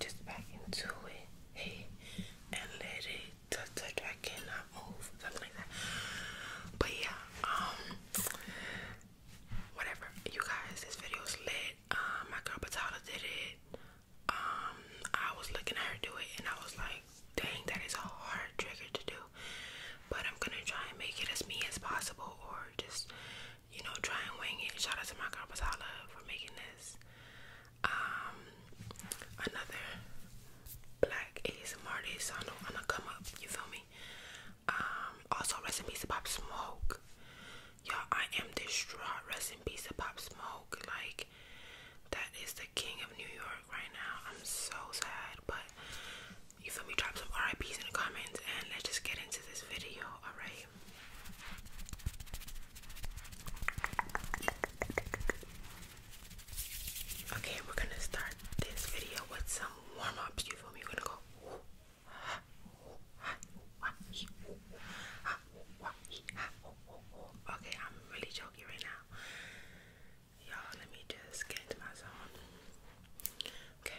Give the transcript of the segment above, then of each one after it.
just back into it. Hey, and let it touch, touch. I cannot move. Something like that. But yeah, um, whatever. You guys, this video is lit. Um, my girl Patala did it. Um, I was looking at her do it, and I was like, dang, that is a hard trigger to do. But I'm gonna try and make it as me as possible, or just you know, try and wing it. Shout out to my girl Basala for making this. Um, another black ASMR artist on on the come up, you feel me? Um, also, rest in Pop Smoke. Y'all, I am distraught. Rest in Pop Smoke. Like, that is the king of New York right now. I'm so sad, but you feel me? Drop some RIPs in the comments and let's just get into this video, alright? Okay, we're gonna start this video with some warm ups. You feel me? We're gonna go. Okay, I'm really choky right now. Y'all, let me just get into my zone. Okay.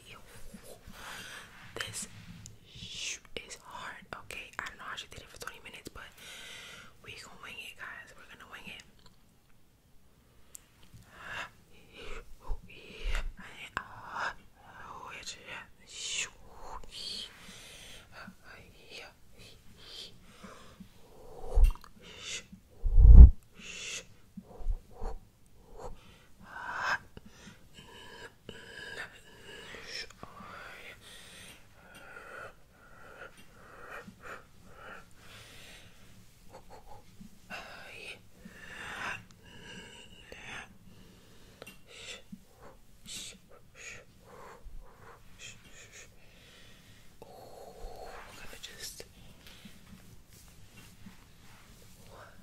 This is hard, okay? I don't know how she did it for 20 minutes, but we gonna wing it, guys. We're gonna wing it. Oh, we're gonna just. One,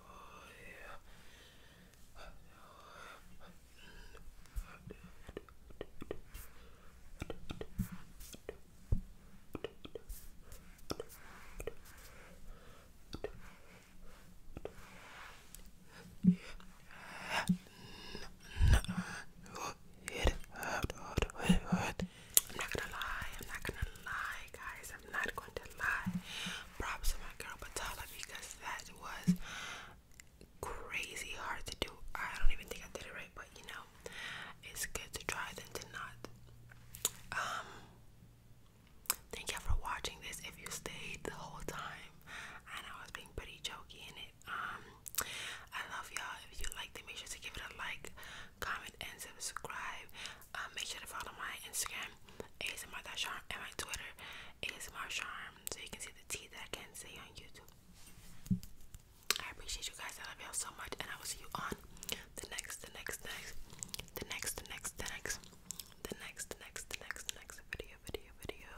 I'm not gonna lie, I'm not gonna lie, guys i not going to lie. Props to my girl Batala because that was crazy hard to do. I don't even think I did it right, but you know, it's good to try than to not. Um, thank y'all for watching this. If you stayed the whole time, I I was being pretty jokey in it. Um, I love y'all. If you liked it, make sure to give it a like, comment, and subscribe. Um, make sure to follow my Instagram, ASMR.charm, and my Twitter, ASMR.charm, so you can see the tea that I can say on YouTube. I appreciate you guys. I love y'all so much, and I will see you on the next, the next, the next, the next, the next, the next, the next, the next, the next, the next video, video, video.